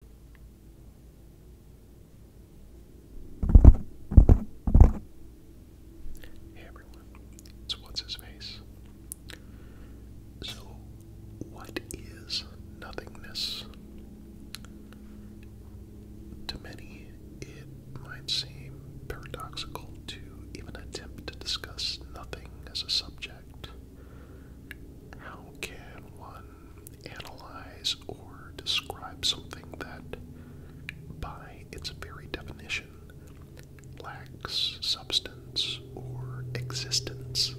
Hey everyone, it's What's His Face. So, what is nothingness? To many, it might seem paradoxical to even attempt to discuss nothing as a subject. How can one analyze or describe something that, by its very definition, lacks substance or existence.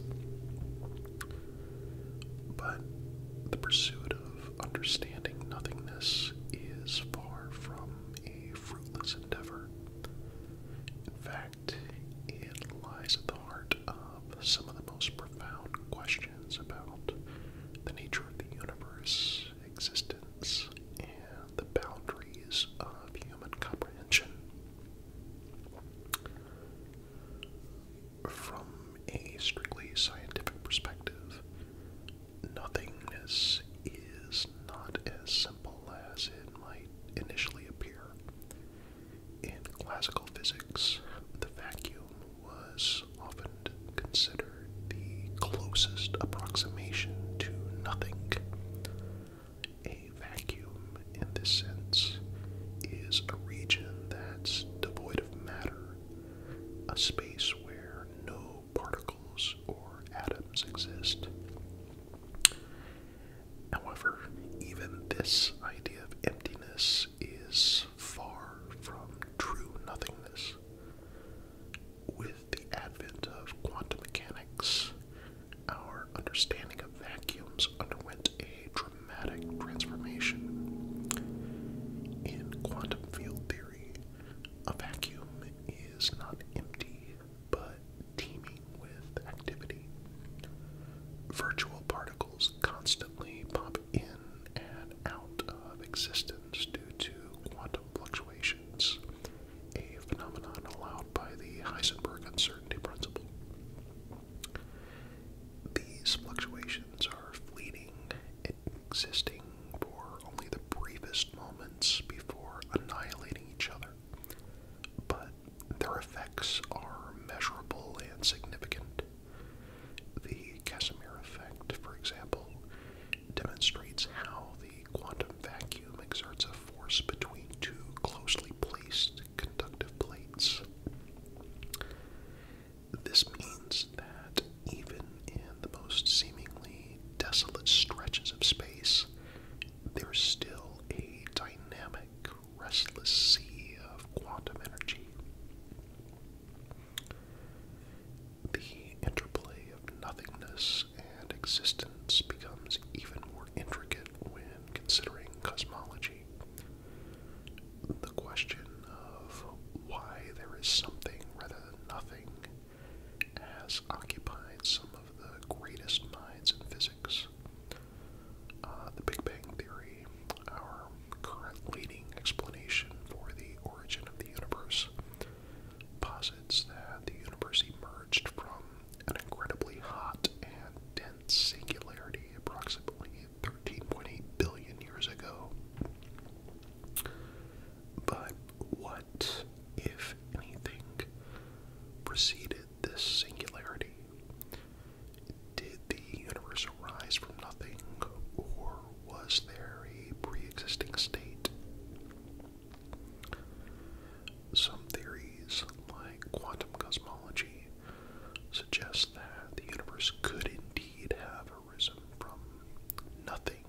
But the pursuit of understanding nothingness is far from a fruitless endeavor. In fact, it lies at the heart of some of the most profound questions about the nature of the universe, existence, and the boundaries of human comprehension. From a strictly scientific perspective, nothingness is not as simple as it might initially appear. In classical physics, the vacuum was often considered the closest approximation to nothing. A vacuum, in this sense, is a region that's devoid of matter, a space where no particles or atoms exist. However, even this idea of emptiness is far from true nothingness. With the advent of quantum mechanics, our understanding of vacuums underwent a dramatic transformation. In quantum field theory, a vacuum is not empty, but teeming with activity. Virtual particles constantly pop in and out of existence due to quantum fluctuations, a phenomenon allowed by the Heisenberg uncertainty principle. These fluctuations are fleeting, existing for only the briefest moments before annihilating each other but their effects are measurable and significant. The Casimir effect, for example, demonstrates how the quantum vacuum exerts a force between two closely placed conductive plates. This means that even in the most seemingly desolate stretches of space, there's still a dynamic restless sea of quantum energy. The interplay of nothingness and existence becomes even more intricate when considering cosmology. The question of why there is something rather than nothing has occupied some of the greatest minds in physics. Uh, the Big Bang Theory, our current leading explanation for the origin of the universe, posits that the universe emerged from an incredibly hot and dense singularity approximately 13.8 billion years ago. But what, if anything, preceded this singularity? Did the universe arise from nothing, or was there a pre existing state? Some theories, like quantum cosmology, suggest that the universe could indeed have arisen from nothing.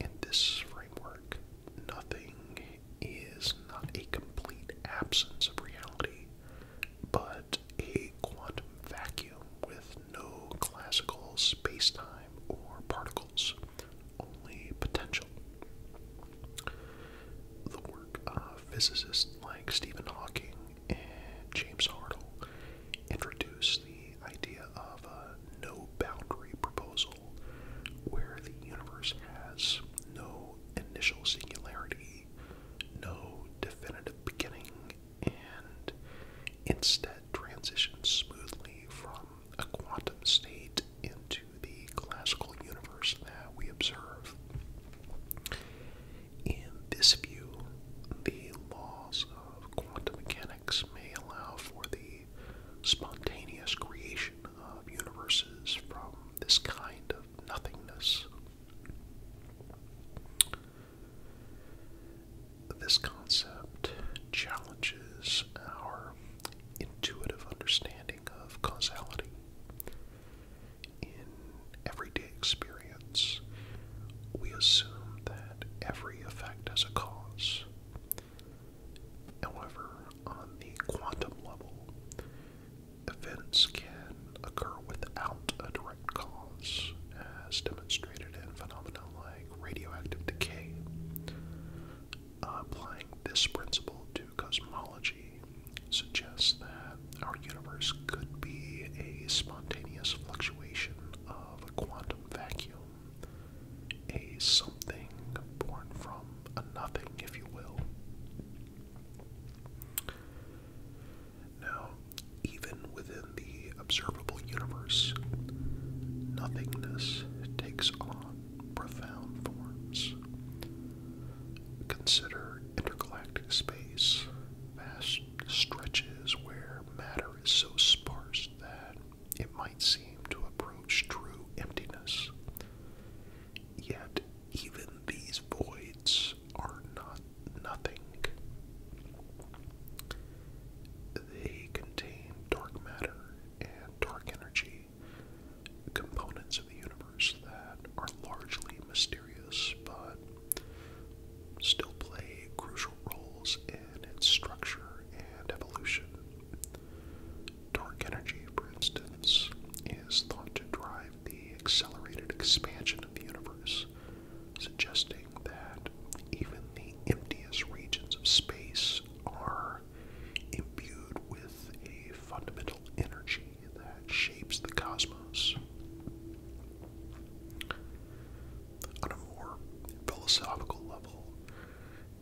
In this framework, nothing is not a complete absence of reality, but a quantum vacuum with no classical space-time or particles, only potential. The work of physicists like Stephen Hawking and James Hartle introduced the idea of a no boundary proposal where the universe has no initial singularity, no definitive beginning, and instead transitions smoothly from a quantum state into the classical universe that we observe. In this view, the laws of quantum mechanics may allow for the spontaneous creation of uh, universes from this kind of nothingness. This concept challenges our intuitive understanding of causality. In everyday experience, we assume that every effect has a cause, However, on the quantum level, events can occur without a direct cause, as demonstrated in phenomena like radioactive decay. applying this principle to cosmology suggests that our universe could be a spontaneous fluctuation of a quantum vacuum a something born from a nothing, if you will. Now, even within the observable universe, nothingness takes on profound forms. Consider intergalactic space, vast stretches where matter is so sparse that it might seem to approach true emptiness. Yet, even these voids are not nothing. They contain dark matter and dark energy, components of the universe that are largely mysterious but still play crucial roles in its structure and evolution. Dark energy, for instance, is thought to drive the accelerated expansion of the universe, suggesting that even the emptiest regions of space are imbued with a fundamental energy that shapes the cosmos. On a more philosophical level,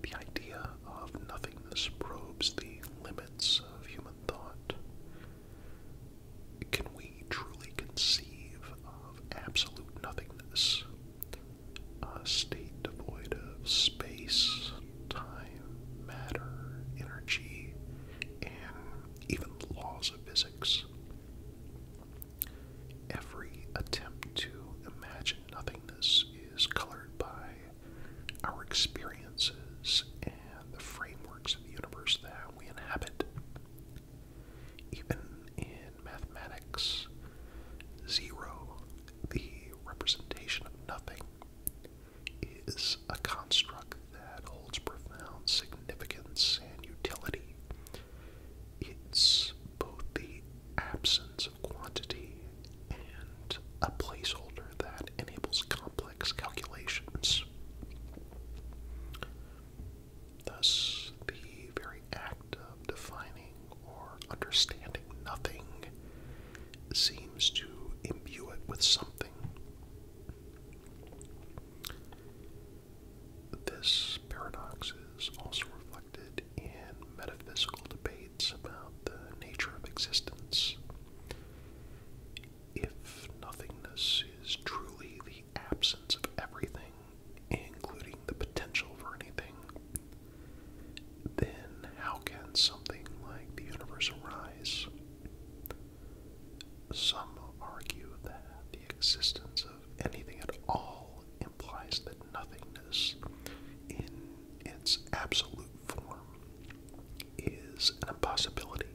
the idea of nothingness probes the limits of human thought. Can we truly conceive of absolute nothingness? A state devoid of space, time, matter, energy, and even laws of physics. Every attempt to imagine nothingness is colored by our experiences and the frameworks of the universe that we inhabit. Even in mathematics, zero, the representation of nothing, is a construct that holds profound significance and utility. It's both the absence quantity and a placeholder that enables complex calculations. Thus, the very act of defining or understanding nothing seems to imbue it with something. This paradox is also reflected engaged in metaphysical debates about the nature of existence. If nothingness is truly the absence of everything, including the potential for anything, then how can something like the universe arise? Some argue that the existence of anything at all implies that nothingness, in its absolute form, is an impossibility.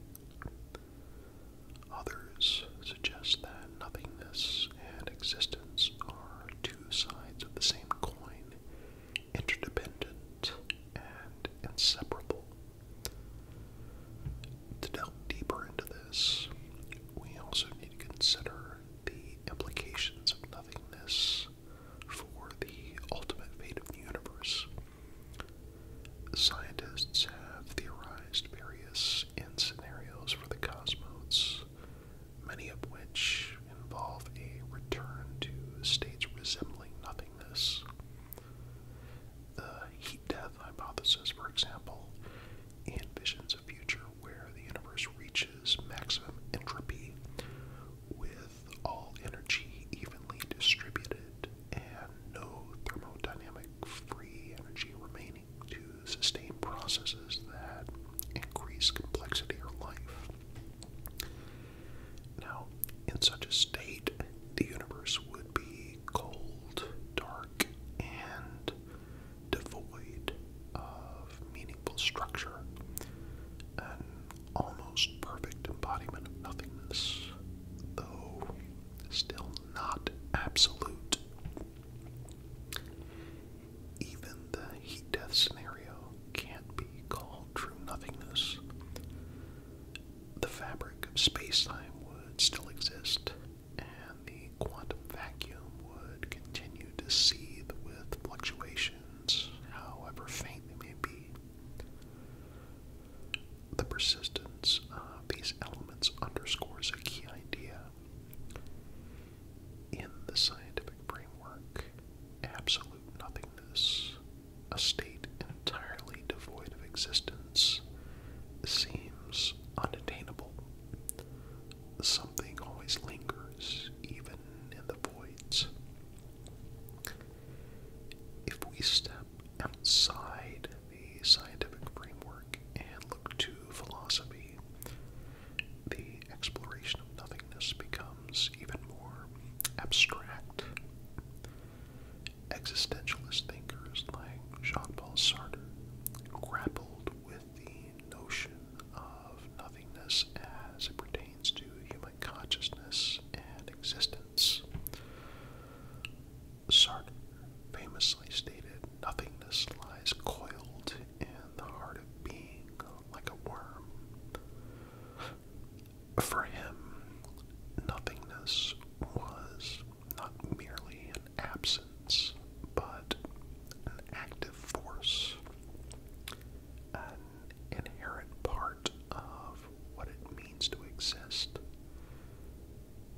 Others suggest that nothingness and existence are two sides of the same coin, interdependent and inseparable. To delve deeper into this, we also need to consider the implications of nothingness for the ultimate fate of the universe. Scientists have theorized various end scenarios for the cosmos, many of which involve a return to states resembling nothingness. The heat death hypothesis, for example, envisions a future where the universe reaches maximum entropy with all energy evenly distributed and no thermodynamic free energy remaining to sustain processes that increase complexity or life. Now, in such a state, the universe would be cold, dark, and devoid of meaningful structure, an almost perfect embodiment of nothingness, though still not absolute. Even the heat death scenario can't be called true nothingness. The fabric of space time would still exist and the quantum vacuum would continue to seethe with fluctuations, however faint they may be. The persistence of these elements underscores a key idea. In the scientific framework, absolute nothingness, a state entirely devoid of existence, seems unattainable. Something always lingers, even in the voids. If we step outside the scientific framework and look to philosophy, the exploration of nothingness becomes even more abstract. Existentialist thinkers like Jean Paul Sartre grappled with the notion of nothingness as it pertains to human consciousness and existence. Sartre famously stated, Nothingness lies coiled in the heart of being like a worm. For him, nothingness was not merely an absence, but an active force, an inherent part of what it means to exist.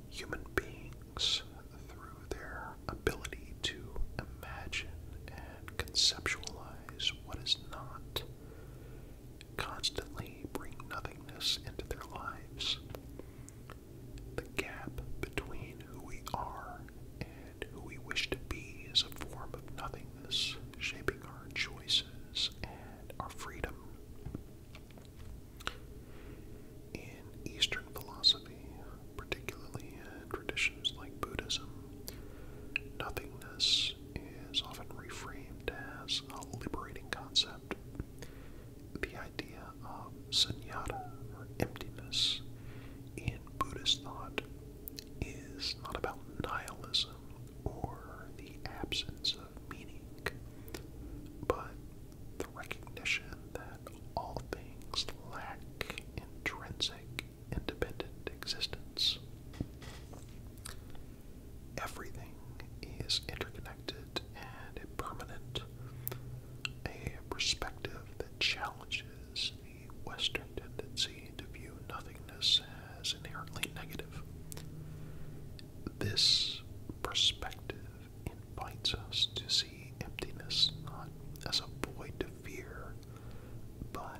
Human beings, through their ability to imagine and conceptualize what is not, constantly bring nothingness into their lives. The gap between who we are and who we wish to be is a form of nothingness, shaping our choices and our freedom. In Eastern philosophy, particularly in traditions like Buddhism, nothingness is often reframed as a liberating concept. The idea of sunyata, or emptiness, in Buddhist thought is not about nihilism or the absence of meaning, but the recognition that all things lack intrinsic, independent existence. Everything is interconnected and impermanent, a perspective that challenges the Western tendency to view nothingness as inherently negative. This perspective invites us to see emptiness not as a void of fear, but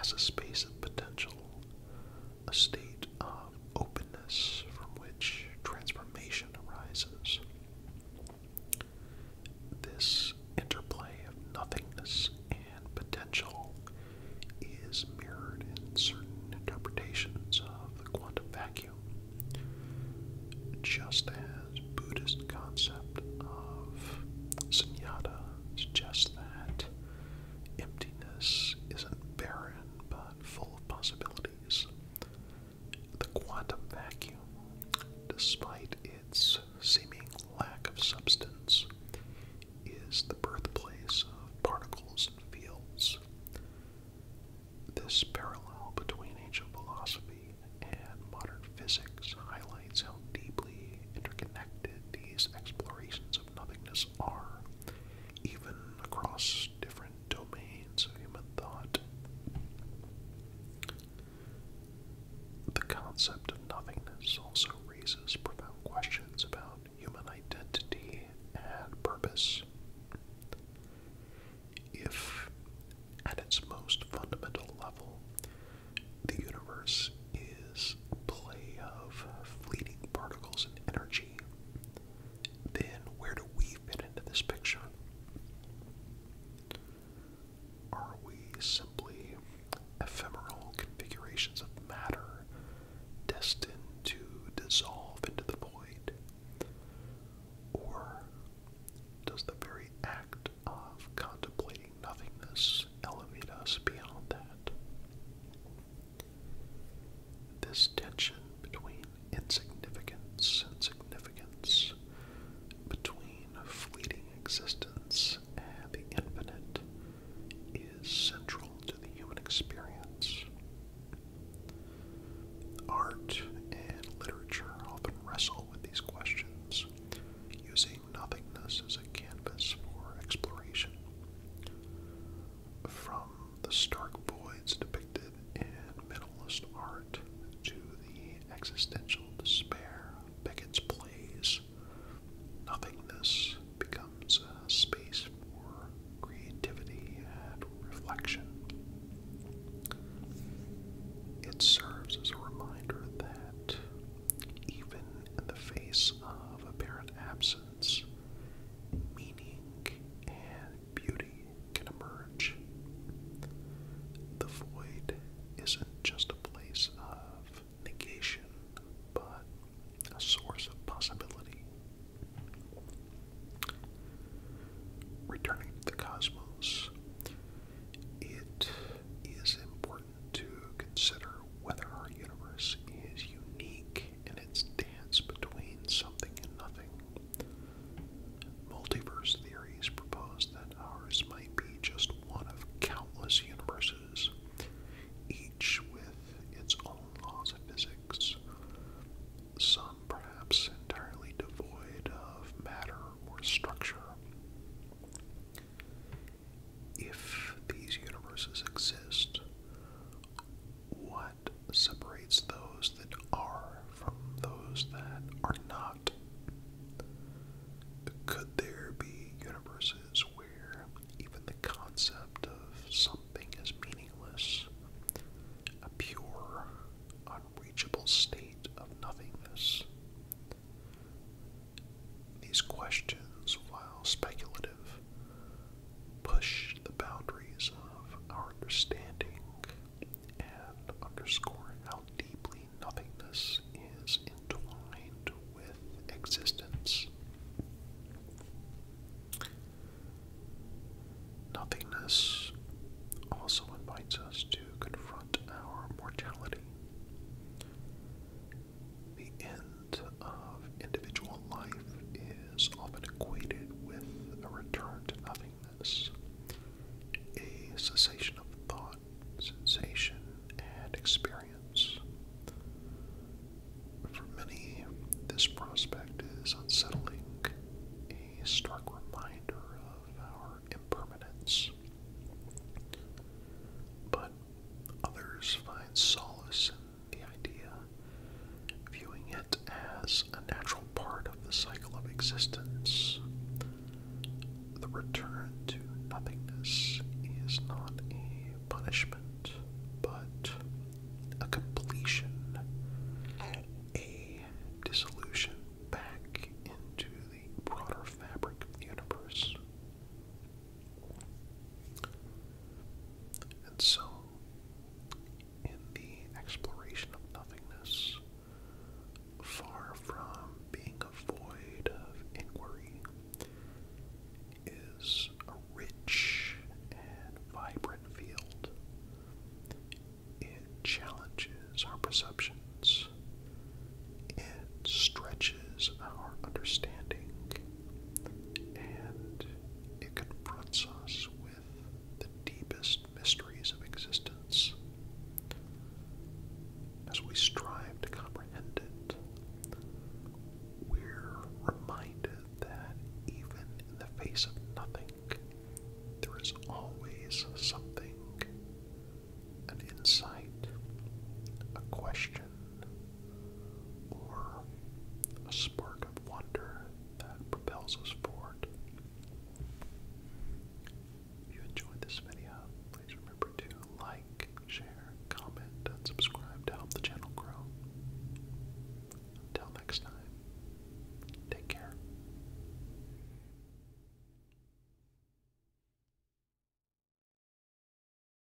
as a space of potential, a state of openness from which transformation arises. This interplay of nothingness and potential is mirrored in certain interpretations of the quantum vacuum, just as Buddhist concept of sunyata suggests that emptiness isn't barren but full of possibilities the quantum vacuum, despite its seeming lack of substance, is the birthplace of particles and fields. This parallel between ancient philosophy and modern physics highlights how deeply interconnected these explorations of nothingness are, even across different domains of human thought. The concept of nothingness also raises profound questions about human identity and purpose. If, at its most fundamental level, the universe is play of fleeting particles and energy, then where do we fit into this picture? Are we simply ephemeral configurations of matter destined to dissolve into the void? Or does the very act of contemplating nothingness elevate us beyond that? This tension between insignificance and significance, between fleeting existence and the infinite, is central to the human experience. Art and literature often wrestle with these questions, using nothingness as a canvas for exploration. From the stark voids depicted in minimalist art to the existential despair of Beckett's plays, nothingness becomes a space for creativity and reflection. It serves as a reminder that even in the face of apparent absence, meaning, and beauty can emerge. The void isn't just a place of negation, but a source of possibility. Returning to the cosmos, it is important to consider whether our universe is unique in its dance between something and nothing. Multiverse theories propose that ours might be just one of countless universes, each with its own laws of physics, some perhaps entirely devoid of matter or structure. If these universes exist, what? separates those that are from those that are not? Could there be universes where even the concept of something is meaningless, a pure, unreachable state of nothingness? These questions, while speculative, push the boundaries of our understanding and underscore how deeply nothingness is entwined with existence. Nothingness also invites us to confront our mortality. The end of individual life is often equated with a return to nothingness, a cessation of thought, sensation, and experience. For many, this prospect is unsettling, a stark reminder of our impermanence. But others find solace the idea, viewing it as a natural part of the cycle of existence. The return to nothingness is not a punishment, but a completion, a dissolution back into the broader fabric of the universe. And so, in the exploration of nothingness, far from being a void of inquiry, is a rich and vibrant field. It challenges our perceptions, it stretches our understanding, and it confronts us with the deepest mysteries of existence. As we strive to comprehend it, we're reminded that even in the face of nothing, there is always something an insight, a question, or a spark of wonder that propels us forward. If you enjoyed this video, please remember to like, share, comment, and subscribe to help the channel grow. Until next time, take care.